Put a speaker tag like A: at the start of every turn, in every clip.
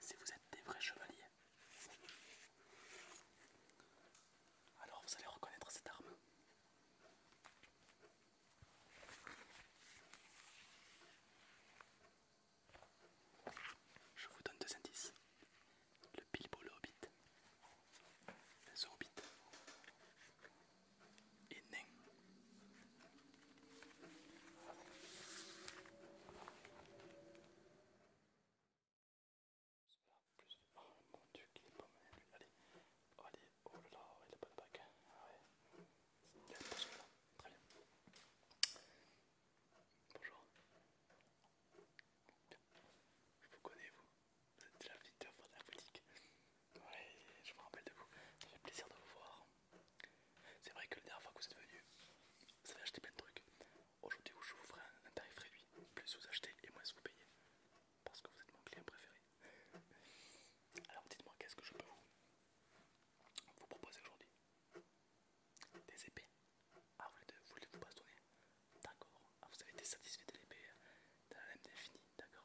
A: Si vous êtes des vrais chevaliers, alors vous allez reconnaître cette arme. Je vous donne deux indices. Le Bilbo le Hobbit evening. Plus oh mon dieu qu'il est pas mal lui, allez, oh, allez, oh là là, il a pas de bac! C'est ah bien, il pas de là, très bien. Bonjour, je vous connais vous, vous êtes déjà visiteur de la boutique, oui, je me rappelle de vous. Ça fait plaisir de vous voir. C'est vrai que la dernière fois que vous êtes venu, vous avez acheté plein de trucs. Aujourd'hui, je vous ferai un tarif réduit. Plus vous achetez et moins vous payez. Parce que vous êtes mon client préféré. Alors dites-moi, qu'est-ce que je peux vous, proposer aujourd'hui Des épées Ah, vous voulez vous, voulez vous bastonner D'accord. Ah, vous avez été satisfait de l'épée euh, la lame définie, d'accord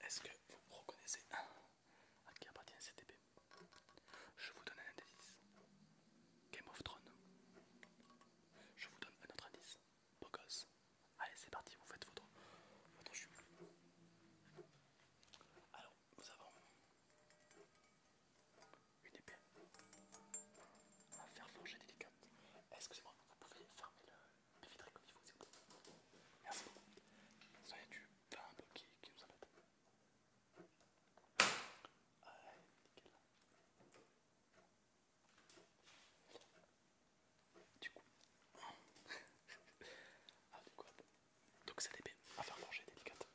A: Est-ce que vous reconnaissez ah, à qui appartient cette épée Je vous donne un indice. Game of Thrones. Je vous donne un autre indice. Beau Allez, c'est parti, vous faites votre, votre Alors, nous avons une épée à faire forger délicate. Excusez-moi, vous pouvez fermer le filtrez comme il faut, c'est tout. Merci beaucoup. Ça y du pain un peu qui, nous embête. Allez, nickel. Du coup, ah, du coup hop. donc c'est des à faire manger délicate.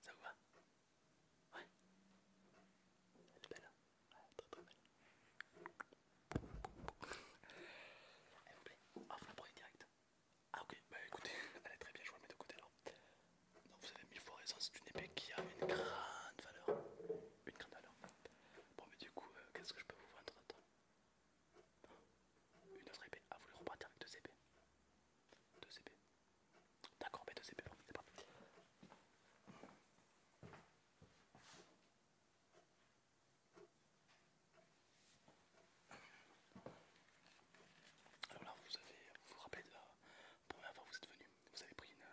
A: Ça vous va Ouais Elle est belle. Hein très très belle. Elle vous plaît Ah, vous la prenez direct Ah, ok, bah écoutez, elle est très bien, je vais la mettre de côté alors. Donc, vous avez mille fois raison, c'est une épée qui a une grande valeur. Une grande valeur. Bon, mais du coup, euh, qu'est-ce que je peux vous vendre Une autre épée Ah, vous voulez repartir avec deux épées Deux épées D'accord, mais deux épées, bon, c'est parti. Alors là, vous avez, vous, vous rappelez de la première fois que vous êtes venu, vous avez pris une,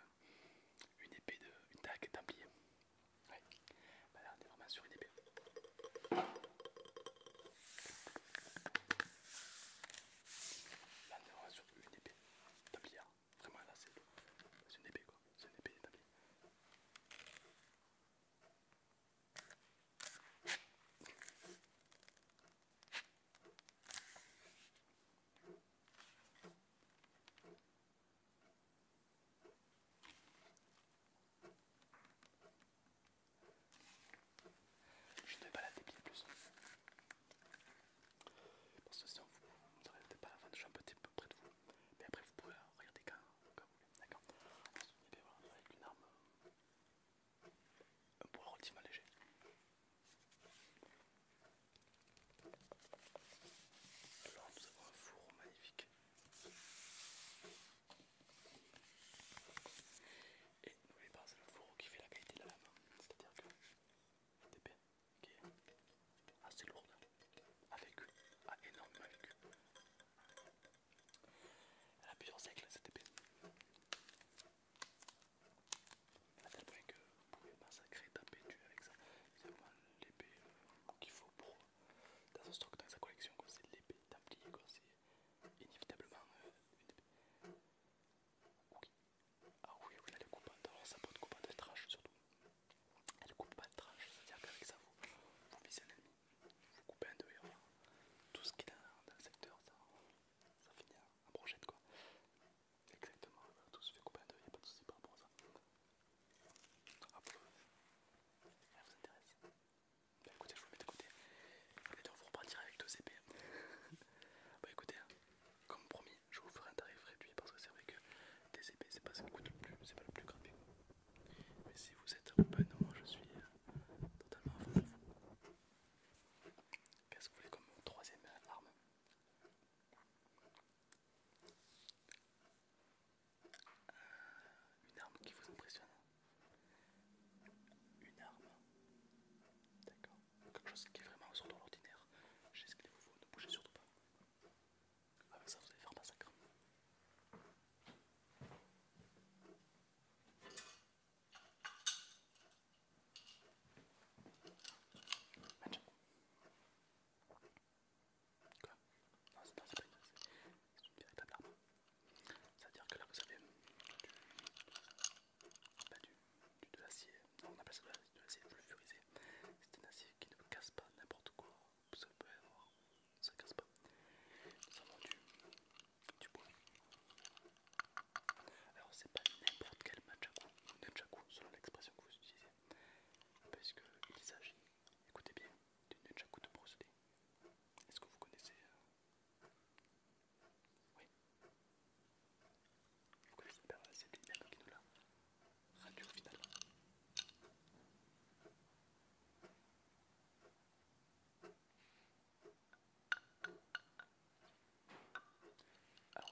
A: une épée, de, une dague d'un plié. Ouais. Bah là, on est vraiment sur une épée. Là, on est vraiment sur une épée de Vraiment là c'est une épée quoi, c'est une épée d'établi. Je ne vais pas la déplier plus. Parce que sinon, vous ne regardez pas la vente, je suis un petit peu près de vous. Mais après, vous pouvez regarder quand, vous voulez. D'accord Et bien voilà, avec une arme, un poids relativement léger. Alors, nous avons un fourreau magnifique. Et n'oubliez pas, c'est le fourreau qui fait la qualité de la lame, c'est-à-dire que bien qui est assez lourde avec vécu, ah, énorme énormément vécu. Elle a plusieurs siècles cette épée. À tel point que vous pouvez massacrer, taper, tuer avec ça. C'est vraiment l'épée euh, qu'il faut pour dans stock, dans sa collection. C'est l'épée templier, c'est inévitablement euh, une épée. Ah oui, oui, elle est coupante. Alors, peut être coupante de trash surtout. Elle coupe pas le trash, c'est-à-dire qu'avec ça, vous, visez un ennemi, vous coupez un deux et hein. Tout ce qui est dans le secteur, ça, ça finit en brochette quoi. Exactement, tout se fait couper un deux, il n'y a pas de soucis par rapport à ça. Ah, vous, elle vous intéresse Bah écoutez, je vous mets de côté. Et vous repartirez avec deux épées. bah écoutez, hein, comme promis, je vous ferai un tarif réduit parce que c'est vrai que des épées c'est pas ça coûte le plus, c'est pas le plus grave. Mais si vous êtes un moi je suis euh, totalement à fond Qu'est-ce que vous voulez comme troisième arme euh, Une arme qui vous impressionne Une arme D'accord quelque chose qui est vraiment sur l'ordinaire. Je sais ce qu'il vous faut, ne bougez surtout pas. Avec ah, ça, vous allez faire un massacre. Match. Quoi Non, c'est pas c'est une véritable arme. C'est-à-dire que là, vous avez du, de on appelle ça de l'acier pulvérisé. C'est un acier qui ne casse pas n'importe quoi, ça peut avoir, ça casse pas. ça avons du, bois. Alors c'est pas n'importe quel ou nunchaku selon l'expression que vous utilisez, Parce puisqu'il s'agit, écoutez bien, du nunchaku de procédé. Est-ce que vous connaissez euh, vous connaissez bien c'est idée qui nous la au finalement. Alors,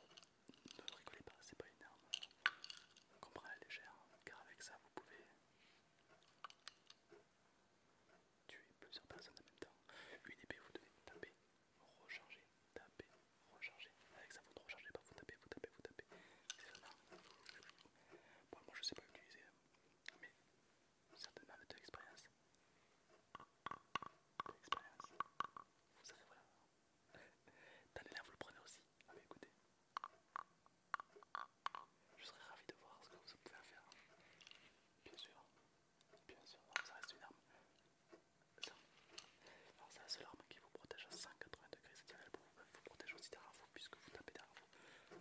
A: ne rigolez pas, c'est pas une arme qu'on prend à la légère, hein, car avec ça vous pouvez tuer plusieurs personnes en même temps. Une épée vous devez taper recharger, taper, recharger. Avec ça, vous rechargez pas, vous tapez, vous tapez, vous tapez. C'est vraiment. Bon, moi je sais pas utiliser, hein. mais certainement avec de l'expérience. De l'expérience. Vous savez, voilà. Dans là, vous le prenez aussi. Ah, mais écoutez. Je serais ravi de voir ce que vous pouvez faire. Bien sûr, Bien sûr, ça reste une arme. Alors c'est la seule arme qui vous protège à 180 degrés, c'est-à-dire elle euh, vous protège aussi derrière vous puisque vous tapez derrière vous.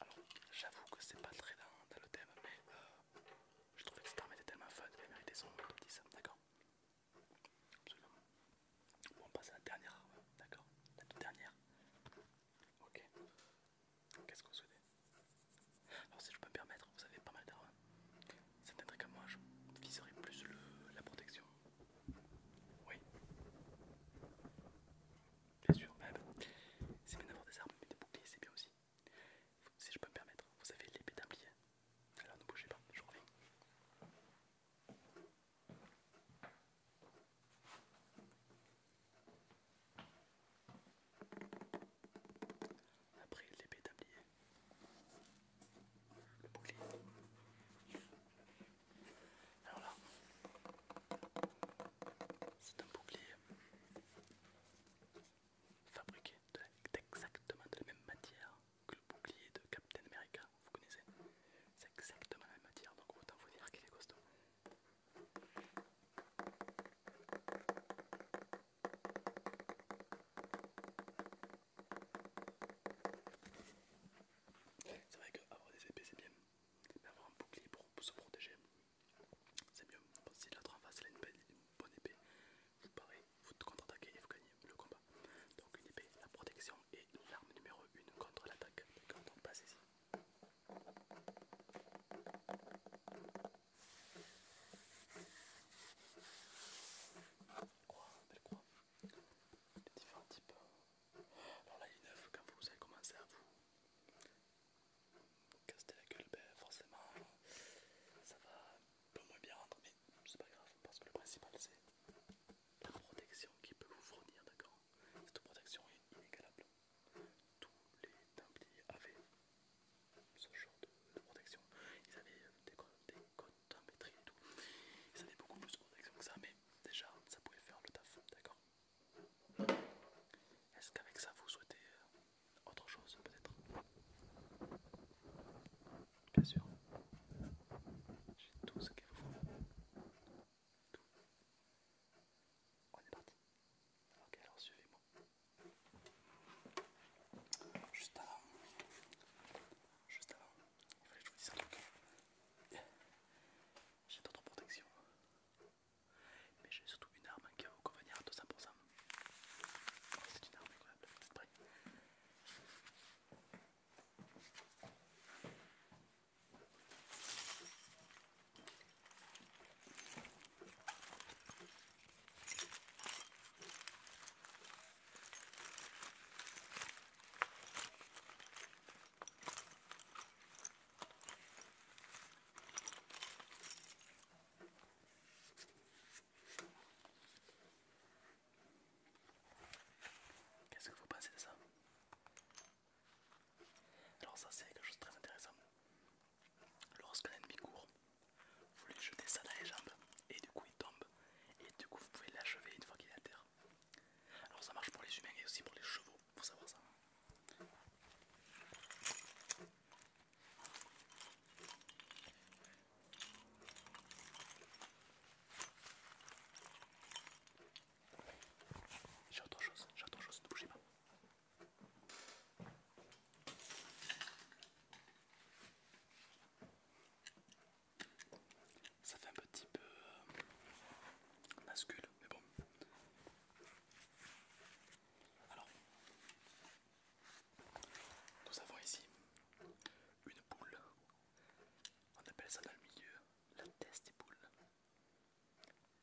A: Alors j'avoue que c'est pas très dans, le thème, mais euh, je trouvais que cette arme était tellement fun elle méritait son petit hein, 10, d'accord Absolument. Bon, on passe à la dernière arme, d'accord La toute dernière. Ok. Qu'est-ce qu'on vous Alors si je peux me permettre, vous avez pas mal d'armes. ça trucs comme moi, je viserai plus la protection. Oui. Bien sûr, bah, c'est bien d'avoir des armes, mais des boucliers, c'est bien aussi. Si je peux me permettre, vous avez l'épée d'un Alors ne bougez pas, je reviens. Après l'épée tablier, le bouclier. Alors là, c'est un bouclier fabriqué d'exactement de, la même matière que le bouclier de Captain America, vous connaissez C'est exactement la même matière, donc autant vous dire qu'il est costaud. C'est vrai qu'avoir des épées c'est bien, mais avoir un bouclier pour se protéger c'est mieux. Si l'autre en face a une bonne épée, vous parlez, vous contre-attaquez et vous gagnez le combat. Donc une épée, la protection et l'arme numéro 1 contre l'attaque. Donc passe ici. Croix, belle croix. Les différents types. Alors là, il est neuf. Quand vous avez commencé à vous caster la gueule, forcément, ça va un peu moins bien rendre, mais c'est pas grave parce que le principal c'est la protection qui peut vous fournir, d'accord Cette protection est inégalable tous les templiers avaient ce genre de, protection. Ils avaient euh, des, codes d'embêtrie et tout. Ils avaient beaucoup plus de protection que ça, mais déjà ça pouvait faire le taf, d'accord Est-ce qu'avec ça vous souhaitez euh, autre chose peut-être Bien sûr. J'ai tout ce qu'il vous faut. Tout. On est parti. Ok, alors suivez-moi. Juste avant, juste avant, il fallait que je vous dise un truc. J'ai d'autres protections, mais j'ai surtout une arme qui va vous convenir à 200%. C'est une arme incroyable, vous êtes prêts Qu'est-ce que vous pensez de ça alors ça c'est quelque chose de très intéressant. Lorsque l'ennemi court, vous lui jetez ça dans les jambes et du coup il tombe et du coup vous pouvez l'achever une fois qu'il est à terre. Alors ça marche pour les humains et aussi pour les chevaux, faut savoir ça. J'ai autre chose, j'ai autre chose, ne bougez pas. Ça fait un petit peu bascule euh, mais bon. Alors, nous avons ici une boule. On appelle ça dans le milieu la test des boules.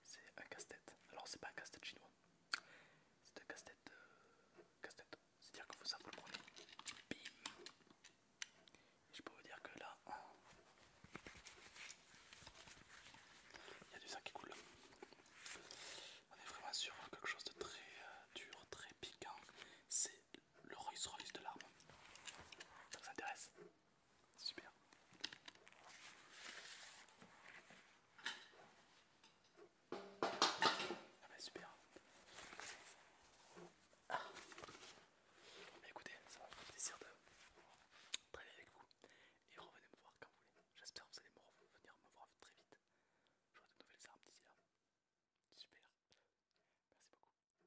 A: C'est un casse-tête. Alors c'est pas un casse-tête chinois. C'est un casse-tête... Euh, casse-tête. C'est-à-dire que vous savez, le prenez. Bim je peux vous dire que là... Il y a du sang qui coule. On est vraiment sur quelque chose de très euh, dur, très piquant. C'est le Rolls Royce de l'arme. Ça vous intéresse Super. Ah bah super. Mais ah, écoutez, ça me fait plaisir de travailler avec vous et revenez me voir quand vous voulez. J'espère que vous allez venir me voir très vite. Je J'aurai de nouvelles armes d'ici là. Super. Merci beaucoup.